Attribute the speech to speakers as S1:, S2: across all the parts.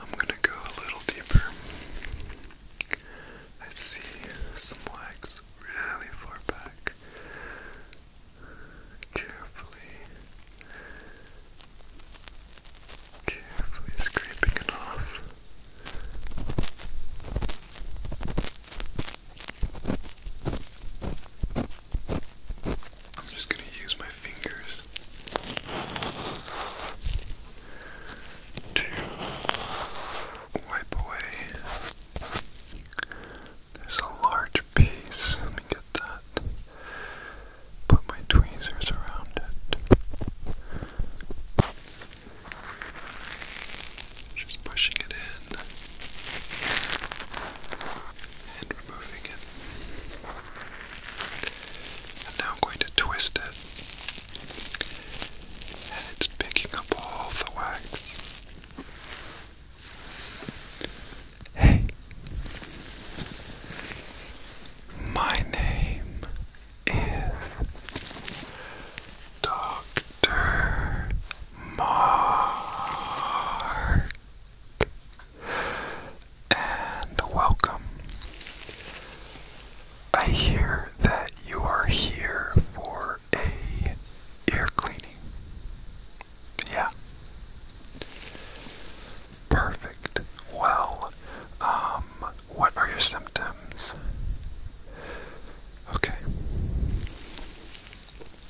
S1: I'm gonna go a little deeper. I see some wax really far back. Carefully, carefully scraping it off. I'm just gonna use my fingers to wipe away. There's a large piece. Let me get that. Put my tweezers around it. Just pushing it in and removing it. And now I'm going to twist it. And it's picking up all the wax. Hey, my name is Dr. Mark and welcome. I hear that you are here for a ear cleaning. Yeah. Perfect. Well, um, what are your symptoms? Okay.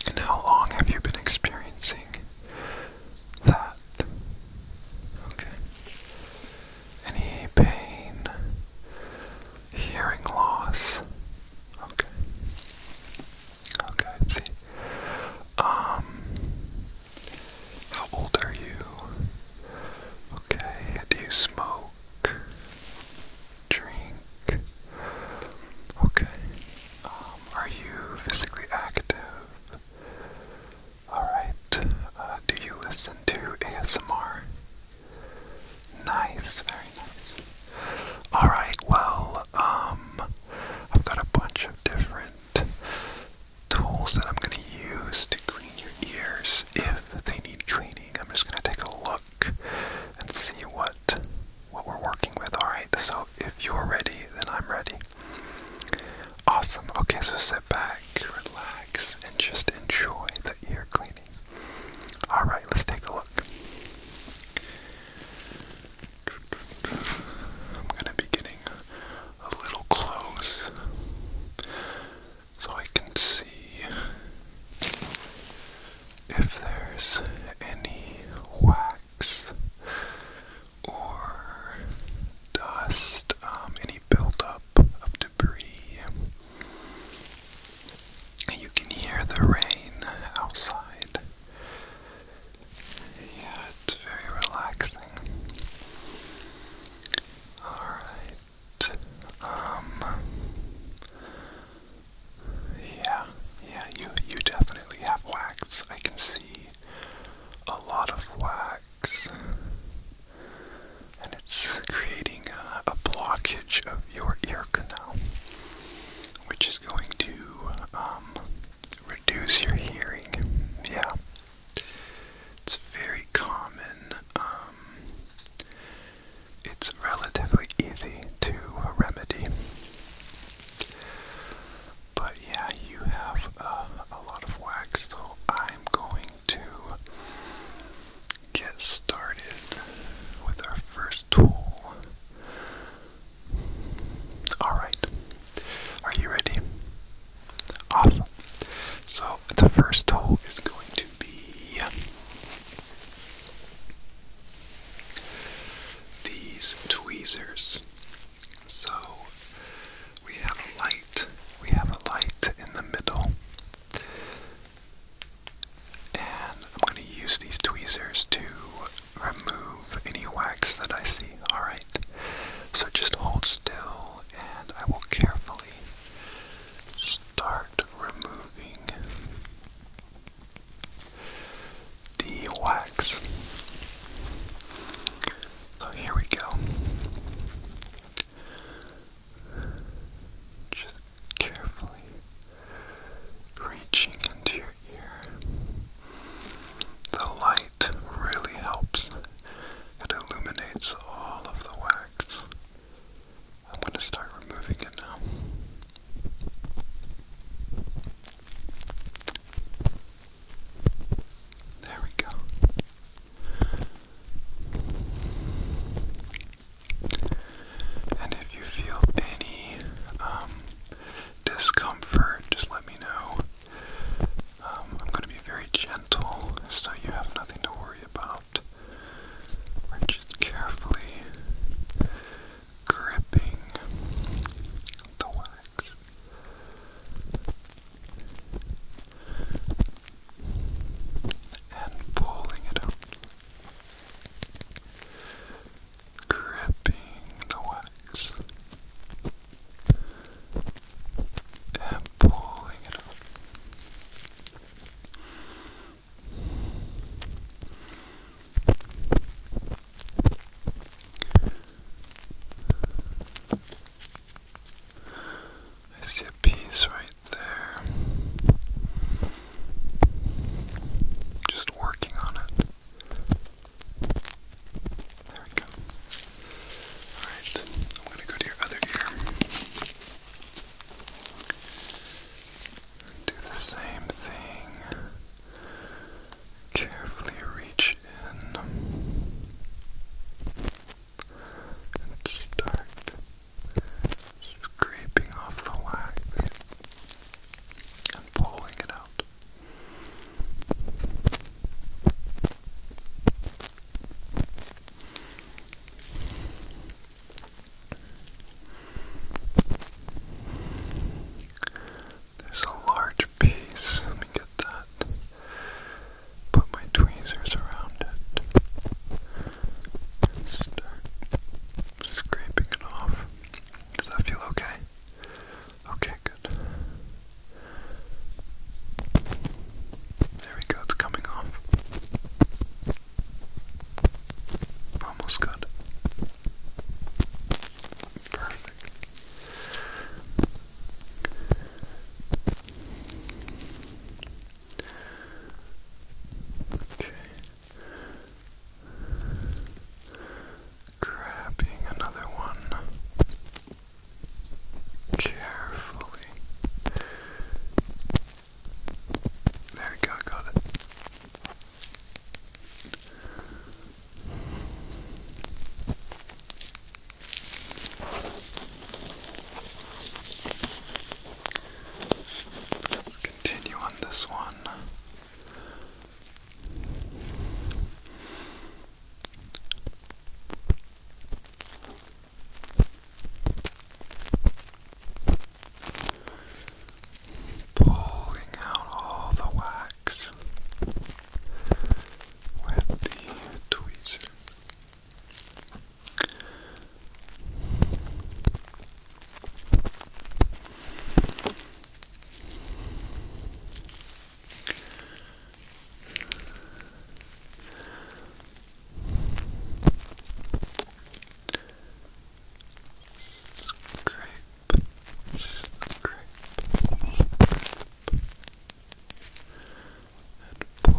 S1: And how long have you been experiencing that? Okay. Any pain? Hearing loss? Okay. Okay, see. Um how old are you? Okay. Do you smoke? Drink? Okay. Um, are you physically active? Alright, uh, do you listen to ASMR? Nice, very nice. Alright, well, um, I've got a bunch of different tools that I'm going to use to clean your ears if they need cleaning. I'm just going to take a look and see what what we're working with. Alright, so if you're ready, then I'm ready. Awesome. Okay, so sit back, relax, and just enjoy the ear cleaning. Alright, let's take a look. I'm gonna be getting a little close so I can see if there's any wax or dust, um, any buildup of debris. You can hear the rain outside. Yeah, it's very relaxing. Alright. Um, yeah, yeah, you you definitely have wax. I can see a lot of wax. And it's creating a, blockage of your ear canal, which is going to um, reduce your hearing. Yeah. It's very common. Um, it's relatively easy to remedy. But yeah, you have uh, a lot of wax, so I'm going to get started with our first tool. Alright, are you ready? Awesome. So, the first tool is going to be these tweezers. So, we have a light. We have a light in the middle. And I'm going to use these tweezers to remove any wax that I see. Alright. So just hold still and I will carefully start removing the wax. So oh, here we go. Just carefully reaching into your ear. The light really helps. It illuminates all of the wax. I'm going to start removing it now. There we go. And if you feel any um, discomfort, just let me know. Um, I'm going to be very gentle, so you have nothing to worry about. We're just carefully gripping the wax and pulling it up, gripping the wax and pulling it up. I see a piece right there. Just working on it. There we go. Alright, I'm going to go to your other ear. Do the same thing. Carefully reach and start scraping off the wax and pulling it out. There's a large piece, let me get that put my tweezers around it start scraping it off. Does that feel okay? Okay, good. There we go, it's coming off. Almost good. Perfect. Okay. Grabbing another one carefully. There we go, got it. Let's continue on this one. Pulling out all the wax with the tweezers. Grape, grape, grape and pull,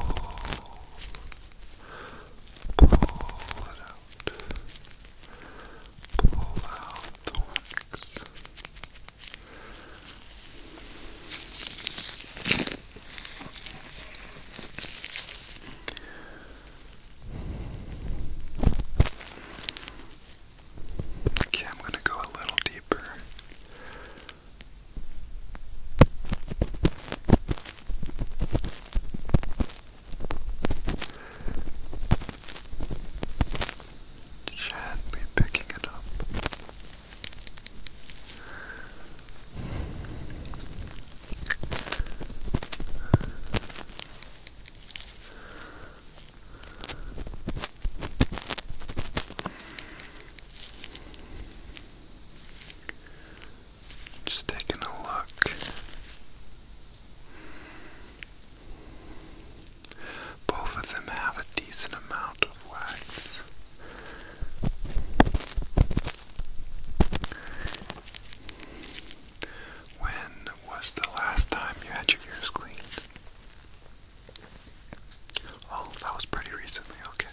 S1: pull it out, pull out the wax. Okay, I'm going to go a little deeper. She had picking it up. Just taking a look. Both of them have a decent amount of wax. When was the last time you had your ears cleaned? Oh, that was pretty recently, okay.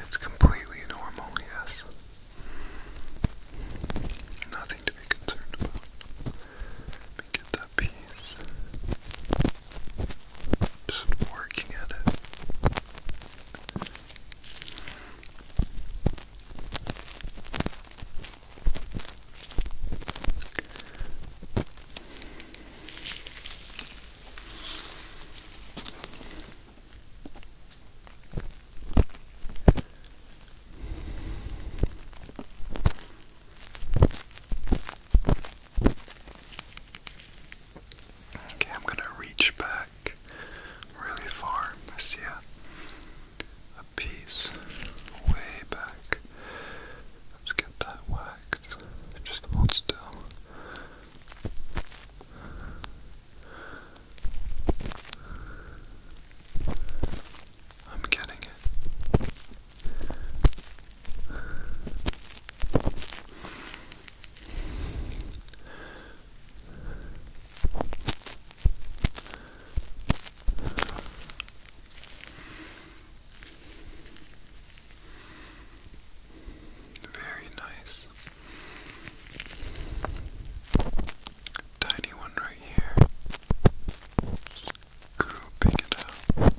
S1: It's completely normal, yes. Nothing to be concerned about. Let me get that piece. Just working at it. Okay, I'm going to reach back really far. I see a, a piece way back. Let's get that waxed. Just hold still. I'm getting it. Very nice. Tiny one right here. Just grouping it out.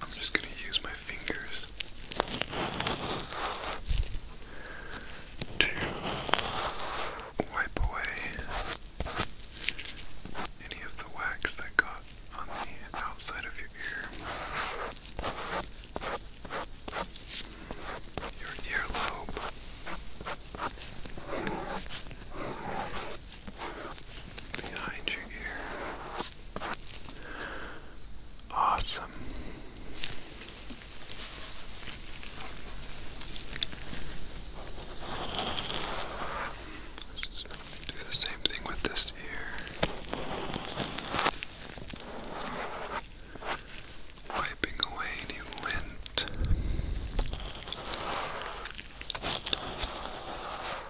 S1: I'm just going to use my fingers to wipe away any of the wax that got on the outside of your ear, your earlobe behind your ear. Awesome. do the same thing with this ear. Wiping away any lint.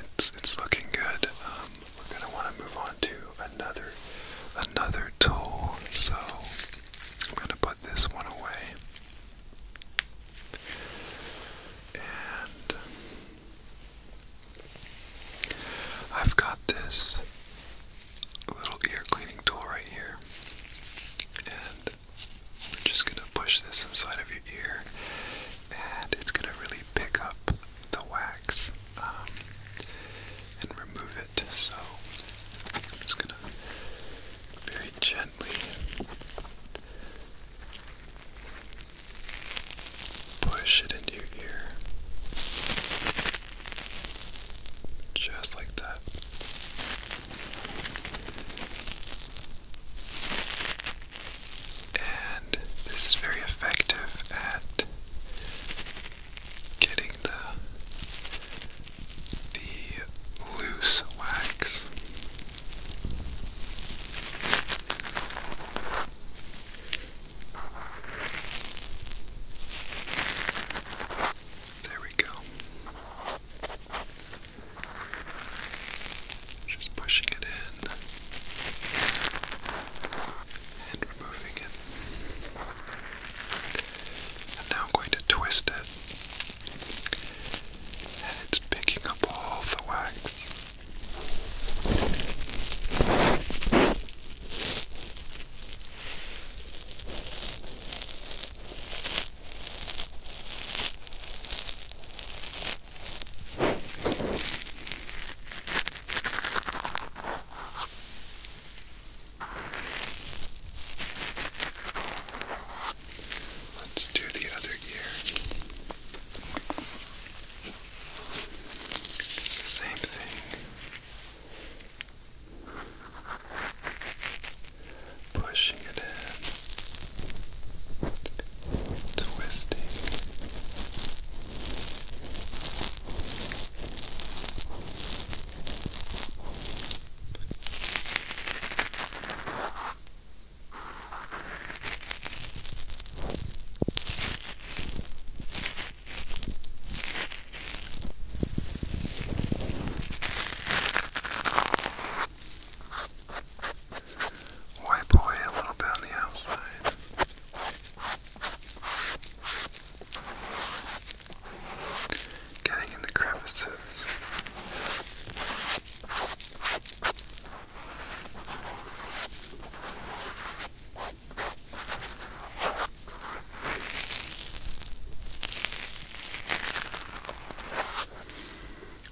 S1: It's it's looking good. Um, we're gonna want to move on to another another tool, so I'm gonna put this one away. And I've got this little ear cleaning tool right here, and we're just gonna push this inside of your ear, and it's gonna really pick up the wax um, and remove it. So I'm just gonna very gently push it into your ear, just like that. And this is very effective at getting the the loose wax. There we go. Just pushing it in and removing it. now I'm going to twist it. And it's picking up all the wax. Let's do the other ear. Same thing pushing it in, twisting. Wipe away a little bit on the outside. Getting in the crevices.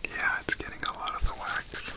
S1: Yeah, it's getting a lot of the wax.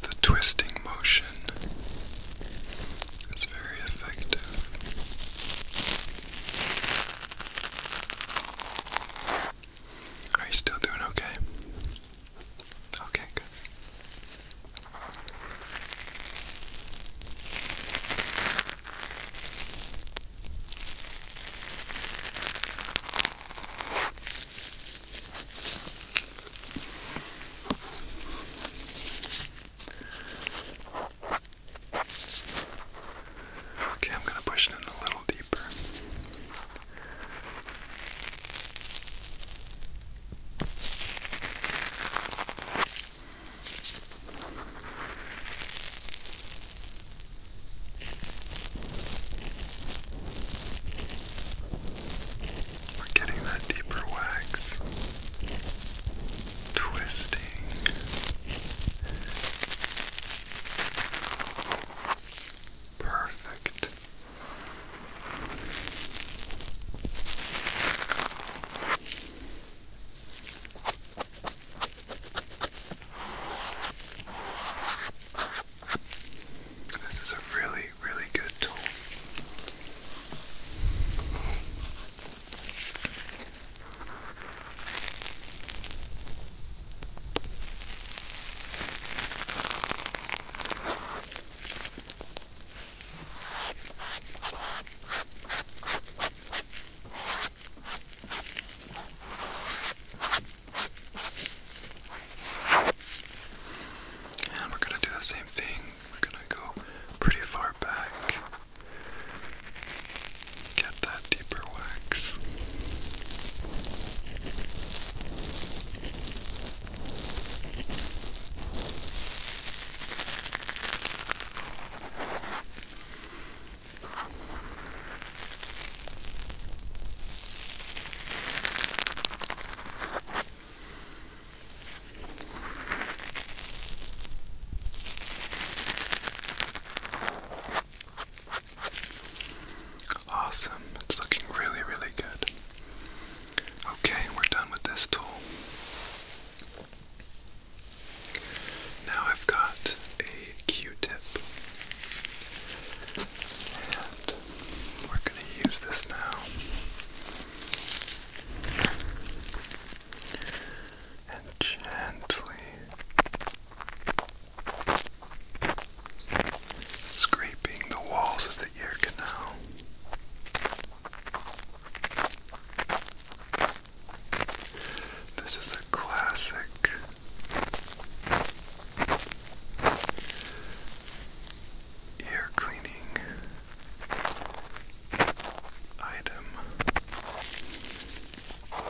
S1: The twisting motion is very effective. Are you still doing okay? Okay, good. Okay, I'm going to push it in a little deeper. We're getting that deeper wax twisting. Perfect. This is a really, really good tool. And we're going to do the same thing. We're going to go pretty far back. Get that deeper wax. Awesome. It's looking really, really good. Okay, we're done with this tool. Now I've got a Q-tip. And we're going to use this now and gently scraping the walls of the ear canal. This is a classic ear cleaning item.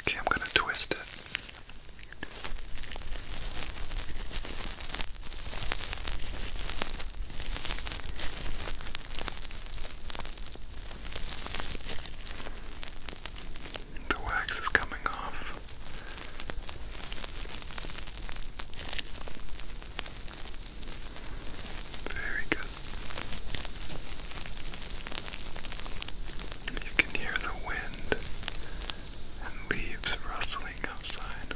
S1: Okay, I'm going to twist it. The wax is coming off. Very good. You can hear the wind and leaves rustling outside.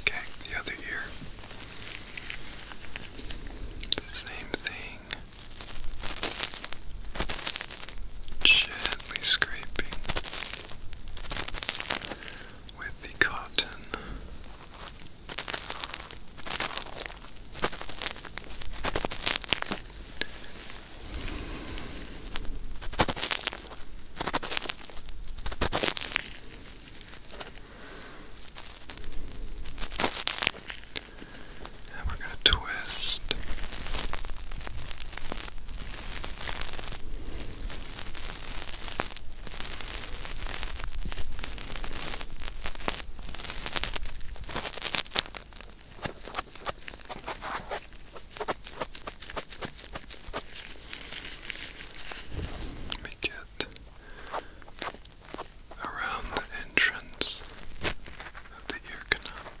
S1: Okay, the other ear. same thing. Gently scraping with the cotton. And we're going to twist let me around the entrance of the ear canal.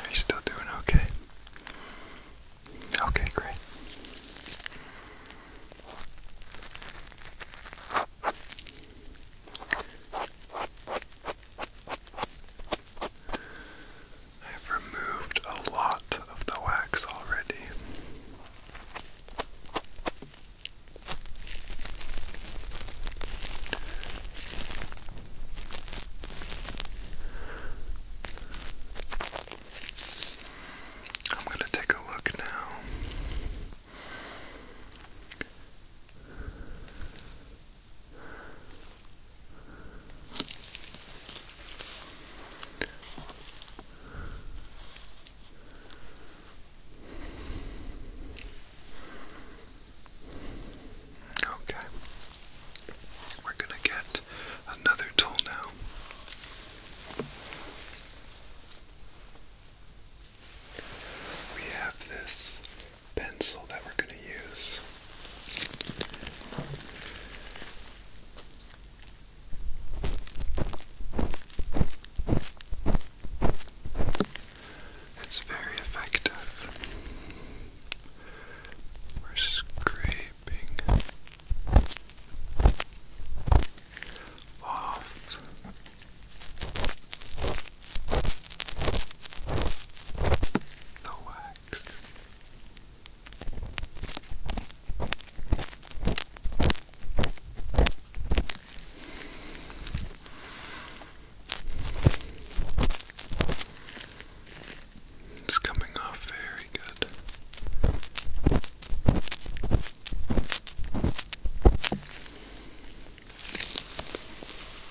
S1: Are you still doing okay? Okay, great. I've removed a lot of the wax already. I'm going to take a look now. Okay. We're going to get another tool now. We have this pencil that we're going to use. It's very effective. We're scraping off. The way. It's coming off very good.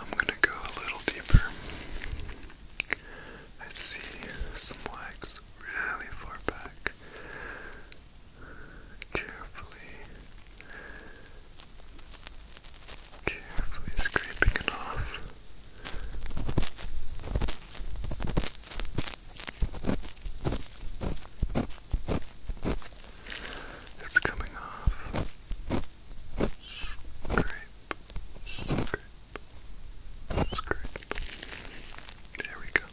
S1: I'm gonna go a little deeper. I see some legs really far back. Carefully, carefully scraping it off. It's coming off. Scrape, scrape, scrape. There we go. Good.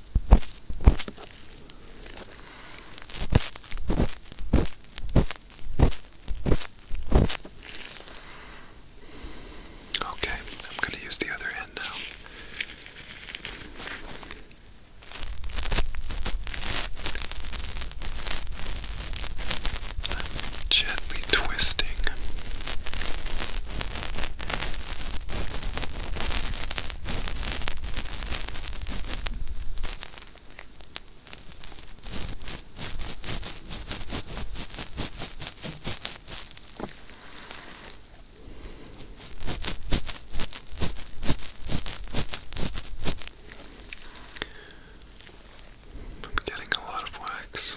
S1: Okay, I'm going to use the other end now. gently twisting I'm getting a lot of wax.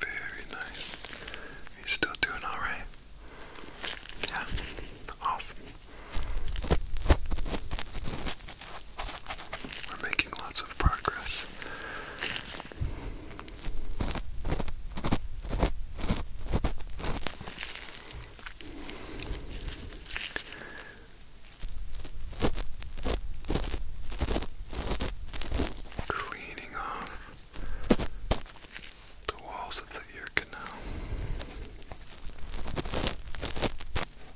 S1: Very nice. Are still doing all right? Yeah, awesome. We're making lots of progress. Cleaning off the walls of the ear canal.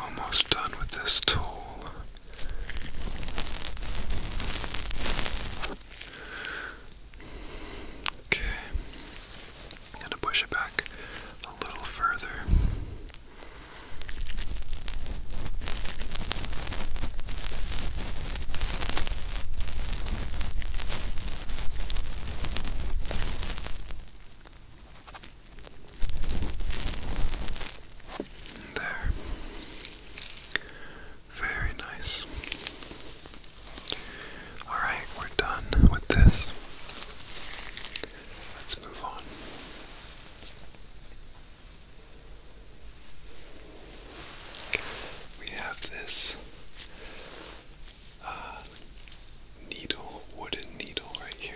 S1: Almost done with this tool. Okay, I'm going to push it back a little further. There. Very nice. Alright, we're done with this. Let's move on. We have this uh, needle, wooden needle right here.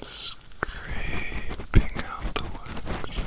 S1: Scraping out the wax.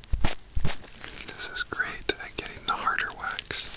S1: This is great at getting the harder wax.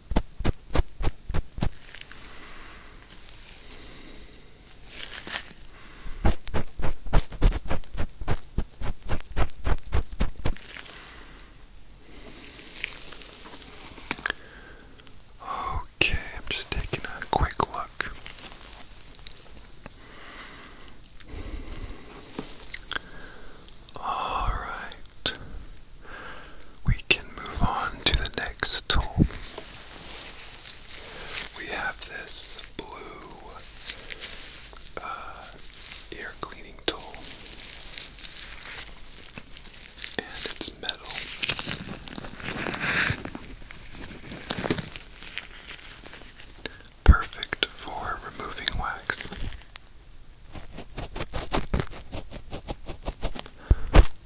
S1: Okay, I'm just taking a quick look. All right. We can move on to the next tool. We have this blue uh, ear cleaning tool, and it's metal. Perfect for removing wax.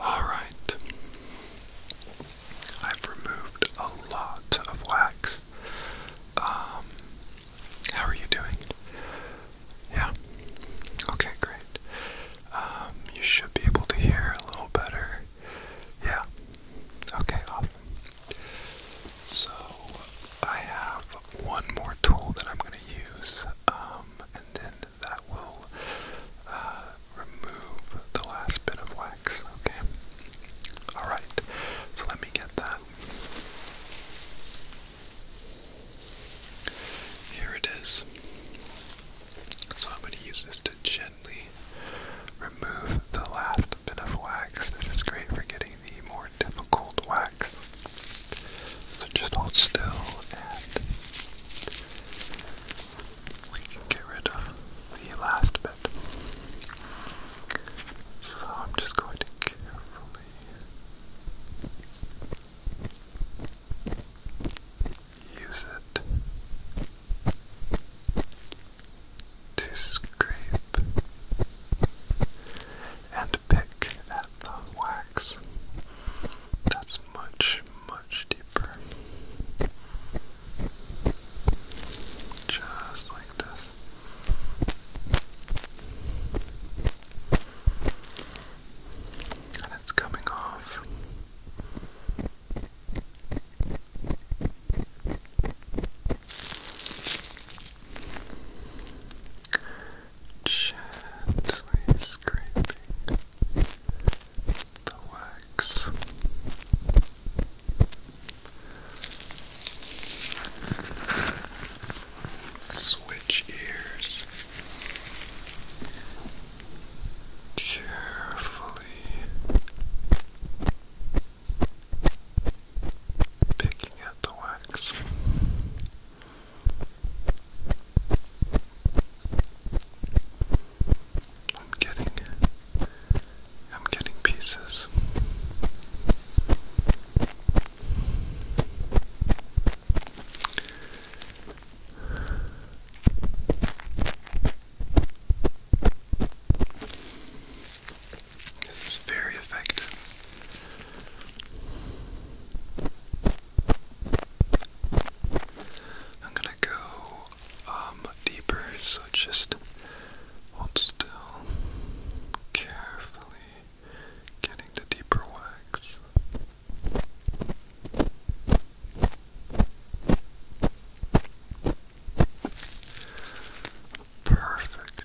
S1: All right. I've removed a lot of wax. Um, how are you doing? Yeah. Okay, great. Um, you should be able to hear a little better. Yeah. Okay, awesome. So I have one more tool that I'm going to use, um, and then that will uh, remove the last bit of wax, okay? Alright, so let me get that. Here it is. So I'm going to use this to gently remove the last bit of wax. This is great for getting the more more difficult wax. So just hold still and we can get rid of the last bit. So I'm just going to carefully. Use it to scrape and pick at the wax. That's much, much deeper. Just like this. And it's coming off gently scraping the wax. Switch ears carefully picking at the wax. I'm getting I'm getting pieces. This is very effective. I'm gonna go um, deeper, so just hold still, carefully getting the deeper wax. Perfect.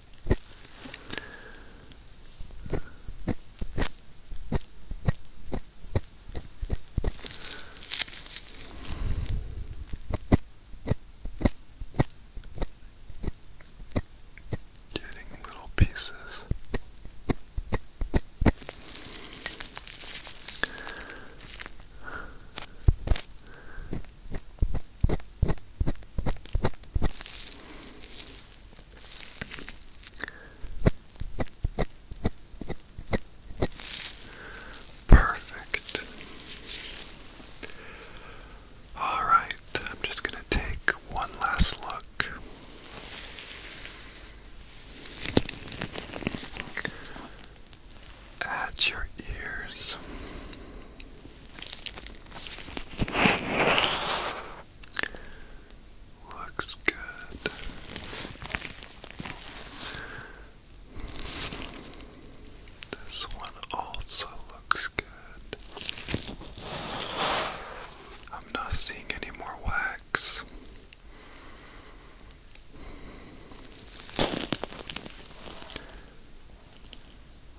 S1: Getting little pieces. Perfect. All right, I'm just going to take one last look. At your ears, Looks good. This one also looks good. I'm not seeing any more wax.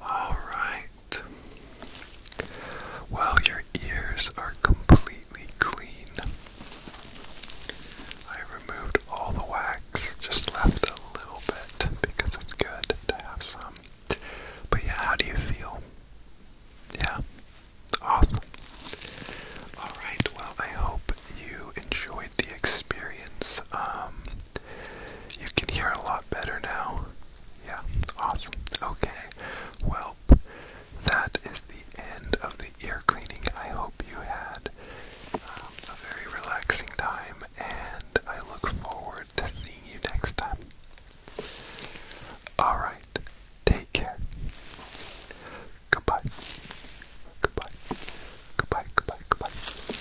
S1: All right. Well, your ears are completely clean. I removed all the wax, just left a little bit because it's good to have some. But yeah, how do you feel? Yeah. Awesome. Alright, well, I hope you enjoyed the experience. Um, you can hear a lot better now. Yeah, awesome. Okay, well, that is the end of the ear cleaning. I hope you had um, a very relaxing time, and I look forward to seeing you next time. Alright, take care. Goodbye. Goodbye. Goodbye, goodbye, goodbye.